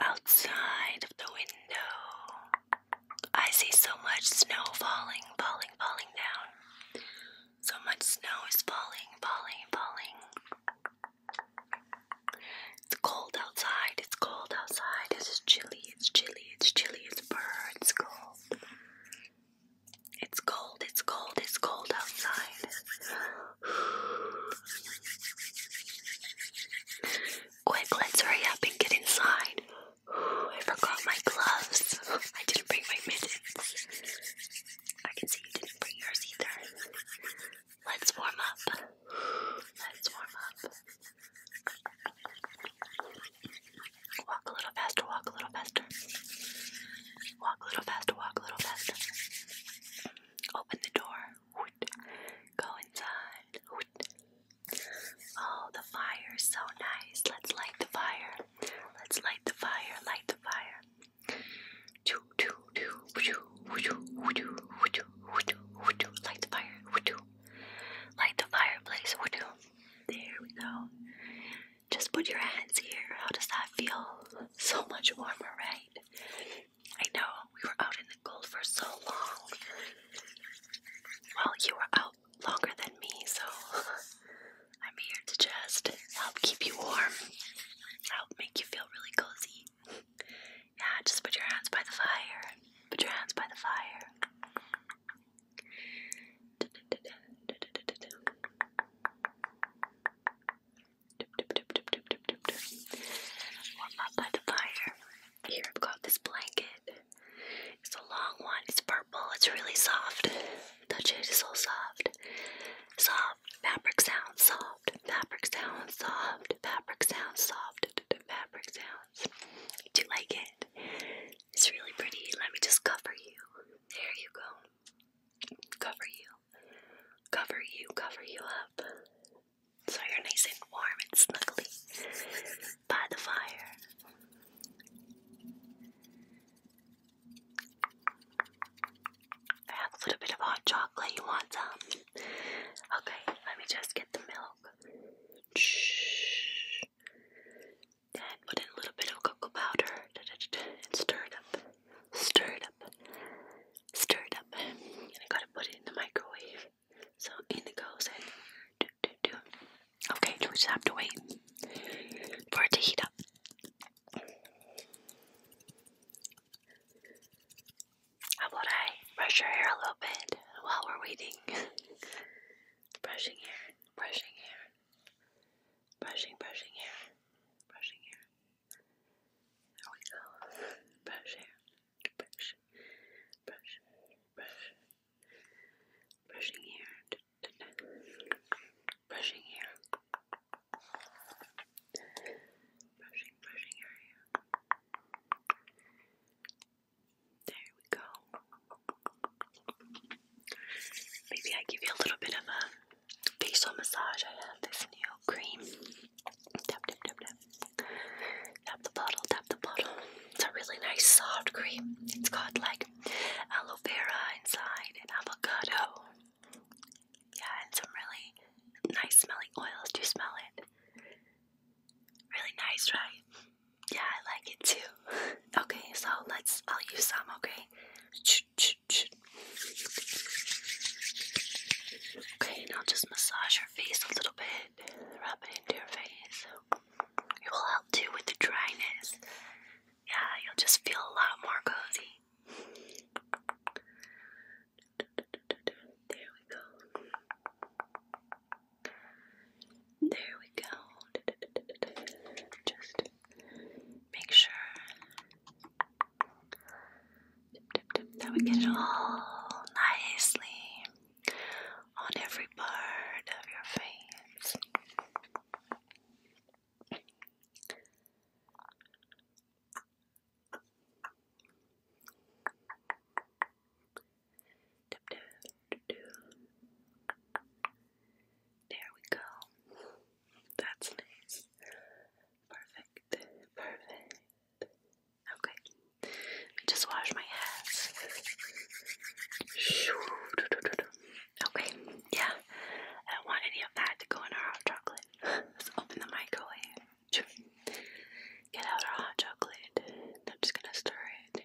Outside of the window, I see so much snow falling, falling, falling down. So much snow is falling, falling, falling. It's cold outside, it's cold outside, it's chilly, it's chilly, it's chilly, it's birds cold. It's cold, it's cold, it's cold outside. Quick, let's hurry up and get inside. I forgot my gloves. I didn't bring my mittens. I can see you didn't bring yours either. Let's warm up. Let's warm up. Walk a little faster, walk a little faster. Walk a little faster, walk a little faster. Open the door. Go inside. Oh, the fire so nice. Let's light the fire. Let's light the fire, light the fire. Light the fire. Light the fireplace. There we go. Just put your hands here. How does that feel? So much warmer, right? I know we were out in the cold for so long. Well, you were out longer than me, so I'm here to just help keep you warm, help make you feel really cozy. Yeah, just put your hands by the fire. Put your hands by the fire. Warm up by the fire. Here I've got this blanket. It's a long one. It's purple. It's really soft. Touch it. It's so soft. Soft fabric sounds. Soft fabric sounds. Soft fabric sounds. Soft fabric sounds. Do you like it? It's really pretty. Let me just cover you. There you go. Cover you. Cover you, cover you up. So you're nice and warm and snuggly by the fire. I have a little bit of hot chocolate. You want some? Okay, let me just get the milk. Shh. Then put in a little bit of cocoa powder and stir it up. Stir it up. Stir it up. And I gotta put it in the microwave. So in the goes and do, do, do. Okay, we just have to wait for it to heat up. How about I brush your hair a little bit while we're waiting? brushing hair, brushing hair. Brushing, brushing hair. Brushing hair. There we go. Brush hair. Brush. Brush. Brush. Brushing hair. Brushing hair. Brushing, brushing hair. There we go. Maybe I give you a little bit of a facial massage. I have this new cream. Tap, tap, tap, tap. the bottle, tap the bottle. It's a really nice soft cream. It's got like aloe vera inside and avocado. Yeah, and some really nice smelling oils. Do you smell it? Really nice, right? Yeah, I like it too. Okay, so let's. I'll use some. Okay. Okay, now just massage your face a little bit. Rub it into your face. It will help too with the dryness. Yeah, you'll just feel a lot more cozy. There we go. There we go. Just make sure that we get it all nicely on every part of your face. There we go. That's nice. Perfect. Perfect. Okay. Let me just wash my hands. Okay. Yeah. I don't want any of that to go in our hot chocolate. Let's open the microwave. Get out our hot chocolate. I'm just gonna stir it.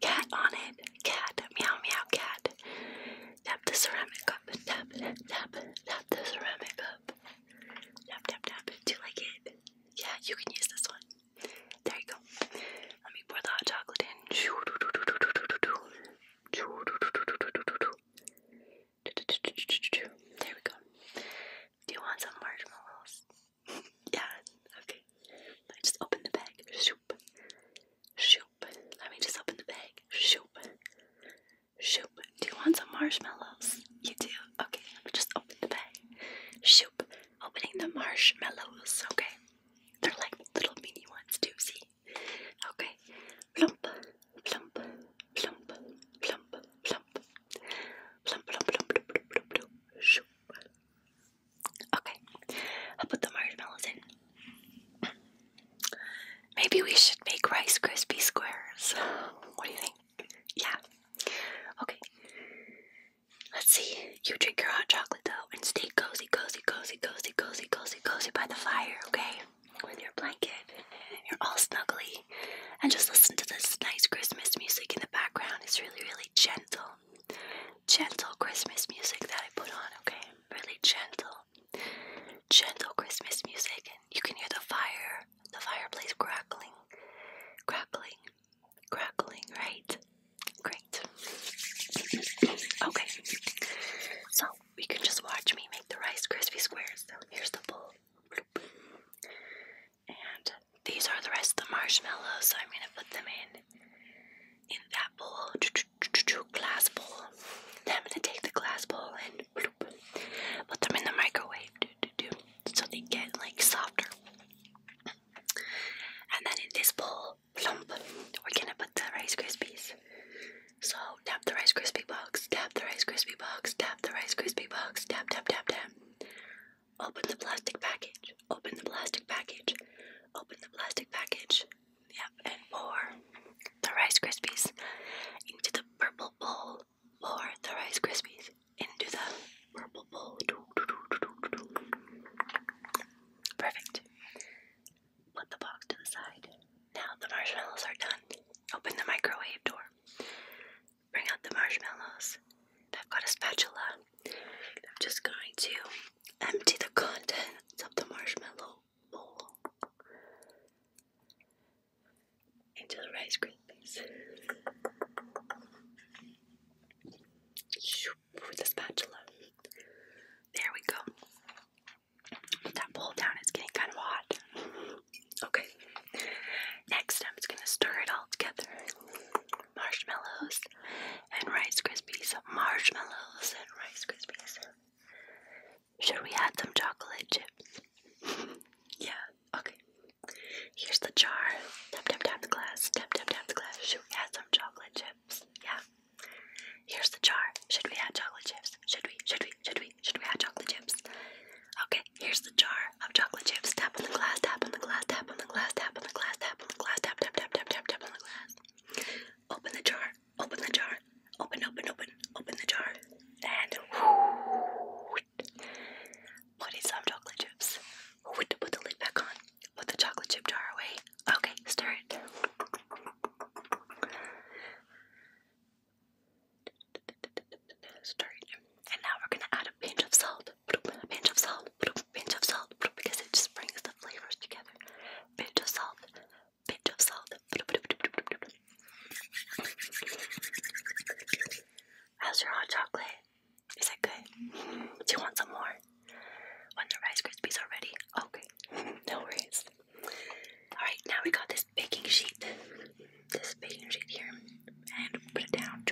cat on it. Cat, meow, meow, cat. Tap the ceramic cup. Tap, tap, tap the ceramic cup. Tap, tap, tap. Do you like it? Yeah, you can use this one. There you go. Let me pour the hot chocolate in. There we go. Do you want some marshmallows? yeah, okay. Let me just open the bag. Shoop. Shoop. Let me just open the bag. Shoop. Shoop. Do you want some marshmallows? You do? Okay, let me just open the bag. Shoop. Opening the marshmallows, okay? They're like little mini ones too, see? Okay. Plump, plump, plump, plump, plump. Plump, plump, plump, plump, plump, plump, plump. Shoop. Okay, I'll put the marshmallows in. Maybe we should make Rice Krispie squares. What do you think? Yeah. Okay. Let's see. You drink your hot chocolate though and stay cozy, cozy, cozy, cozy, cozy, cozy, cozy by the fire, okay? With your blanket. You're all snuggly. And just listen to this nice Christmas music in the background. It's really, really gentle gentle Christmas music that I put on, okay? Really gentle. Gentle Christmas music, and you can hear the fire, the fireplace crackling, crackling, crackling, right? Great. Okay, so you can just watch me make the Rice Krispie Squares. So here's the bowl. And these are the rest of the marshmallows, so I'm gonna put them in in that bowl, glass bowl. Then I'm gonna take the glass bowl and put them in the microwave, so they get like softer. And then in this bowl, plump, we're gonna put the Rice Krispies. So tap the Rice Krispie box, tap the Rice Krispie box, tap the Rice Krispie box, tap, tap, tap, tap. Open the plastic package. Open the plastic package. Open the plastic package. Yep, and pour the Rice Krispies into the purple bowl. Pour the Rice Krispies into the purple bowl. Perfect. Put the box to the side. Now the marshmallows are done. Open the microwave door. Bring out the marshmallows. I've got a spatula. I'm just going to empty the contents of the marshmallow bowl into the Rice Krispies with a spatula. There we go. Put that bowl down, it's getting kind of hot. Okay, next I'm just going to stir it all together marshmallows and Rice Krispies. Marshmallows and Rice Krispies. Should we add some chocolate chips? yeah, okay. Here's the jar. Tap, tap, tap the glass. Tap, tap, tap the glass. Should we add some chocolate chips? Yeah. Here's the jar. Should we add chocolate chips? Should we? Should we? Should we? Should we add chocolate chips? Okay, here's the jar of chocolate chips. Tap on the glass, tap on the glass, tap on the glass, tap on the glass, tap on the glass, tap, tap, tap, tap, tap, tap on the glass. Open the jar, open the jar, open, open, open, open the jar, and whoo, put in some chocolate chips. put the lid back on, put the chocolate chip jar away. Okay, stir it. Stir it. And now we're gonna add a pinch of salt, pinch of salt, pinch of salt, because it just brings the flavors together. Pinch of salt, pinch of salt. How's your hot chocolate? Is that good? Do you want some more? When the Rice Krispies are ready? Okay, no worries. Alright, now we got this baking sheet. This baking sheet here and put it down.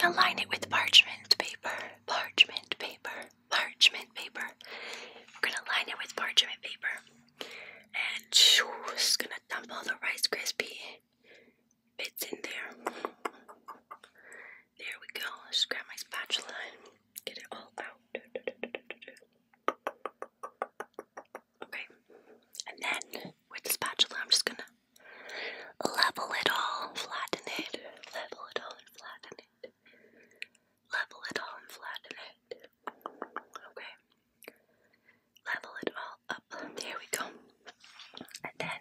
Gonna line it with parchment paper, parchment paper, parchment paper. We're gonna line it with parchment paper, and just gonna dump all the Rice crispy bits in there. There we go. Let's grab my spatula get it all out. Okay, and then with the spatula, I'm just gonna Level it all, flatten it. Level it all flatten it. Level it all flatten it. Okay. Level it all up. There we go. And then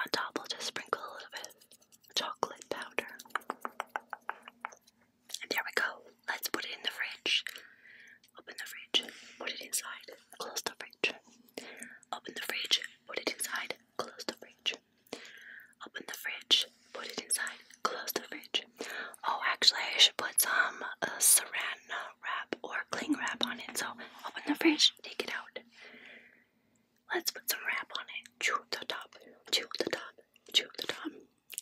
on top, we'll just sprinkle a little bit of chocolate powder. And there we go. Let's put it in the fridge. Open the fridge. Put it inside. Close the fridge. Open the fridge, put it inside, close the fridge. Open the fridge, put it inside, close the fridge. Oh, actually, I should put some uh, saran wrap or cling wrap on it. So open the fridge, take it out. Let's put some wrap on it. Chew the top, chew the top, chew the top.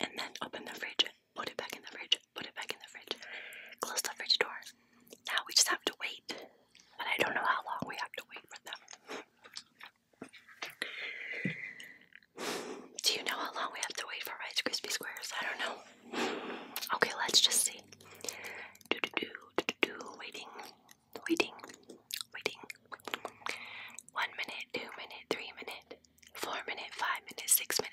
And then open the fridge, put it back in the fridge, put it back in the fridge, close the fridge door. Now we just have to wait, but I don't know how long we have to wait for them. Do you know how long we have to wait for Rice Krispie Squares? I don't know. Okay, let's just see. Do do do do do, waiting, waiting, waiting. One minute, two minute, three minute, four minute, five minute, six minute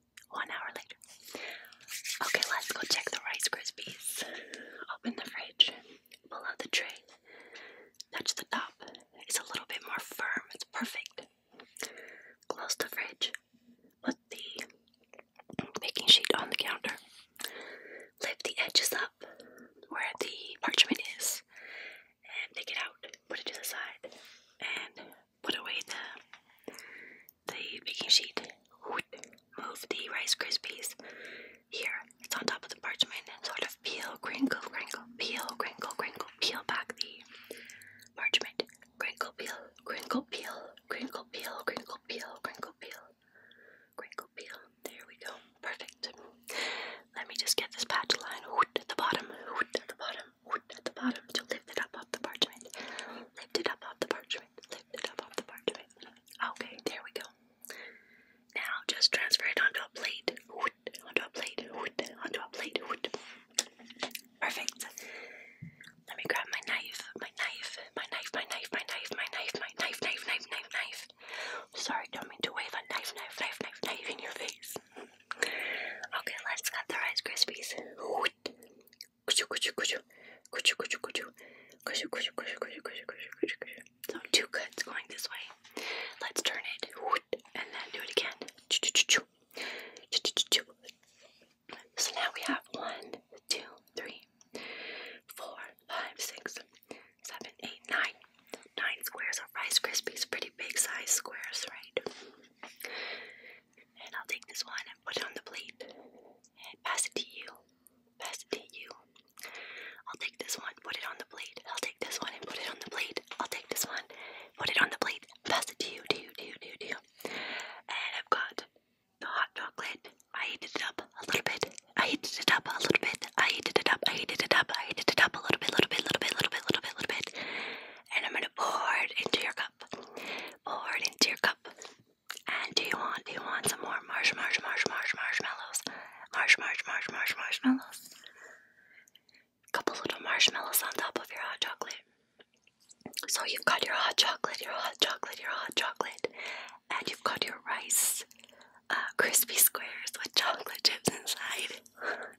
One hour later. Okay, let's go check the Rice Krispies. Open the fridge, pull out the tray, touch the top. It's a little bit more firm, it's perfect. Close the fridge, put the baking sheet on the counter, lift the edges up where the parchment is, and take it out, put it to the side, and put away the the baking sheet. Move the Rice Krispies here. It's on top of the parchment sort of peel, crinkle, crinkle, peel, crinkle, crinkle, peel back the parchment. Crinkle, peel, crinkle, peel, crinkle, peel, crinkle, peel, crinkle, peel, crinkle, peel. There we go. Perfect. Let me just get this patch line at the bottom, at the bottom at the bottom to lift it up off the parchment. Lift it up off the parchment. Lift it up off the parchment. Okay, there we go. Now just transfer it onto a plate. Onto a plate. Onto a plate. Perfect. Let me grab my knife. My knife. My knife. My knife. My knife. My knife. My knife. Knife. Knife. Knife. Knife. Sorry, don't mean to wave a knife. Knife. Knife. Knife. Knife in your face. Okay, let's cut the Rice Krispies. So two cuts going this way. Let's turn it and then do it again. So now we have one, two, three, four, five, six, seven, eight, nine. Nine squares of Rice Krispies, pretty big size squares, right? And I'll take this one and put it on the plate. And pass it to you. Pass it to you. I'll take this one, put it on the plate. I'll take this one and put it on the plate. I'll take this one, put it on the plate. Pass it to you, to you, to you, to you. And I've got the hot chocolate. I heated it up a little bit. I heated it up a little bit. I heated it up. I heated it up. I heated it up a little bit, little bit, little bit, little bit, little bit, little bit. And I'm gonna pour it into your cup. Pour it into your cup. And do you want, do you want some more marsh, marsh, marsh, marsh, marshmallows? Marsh, marsh, marsh, marsh, marshmallows. A couple little marshmallows on top of your hot chocolate. So you've got your hot chocolate, your hot chocolate, your hot chocolate, and you've got your rice uh, crispy squares with chocolate chips inside.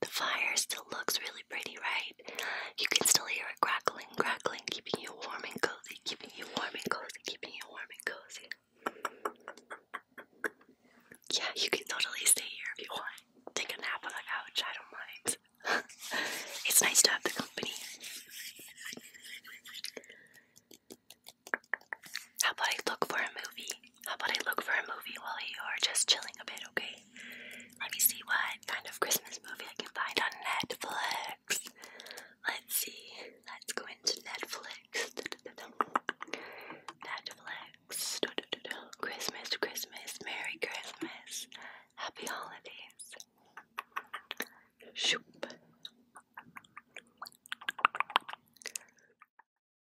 The fire still looks really pretty, right? You can still hear it crackling, crackling, keeping you warm and cozy, keeping you warm and cozy, keeping you warm and cozy. Yeah, you can totally stay here if you want. Take a nap on the couch, I don't mind. it's nice to have the company. How about I look for a movie? How about I look for a movie while you are just chilling a bit, okay? Let me see what kind of Christmas movie I can find on Netflix. Let's see. Let's go into Netflix. Netflix. Christmas, Christmas, Merry Christmas. Happy Holidays. Shoop.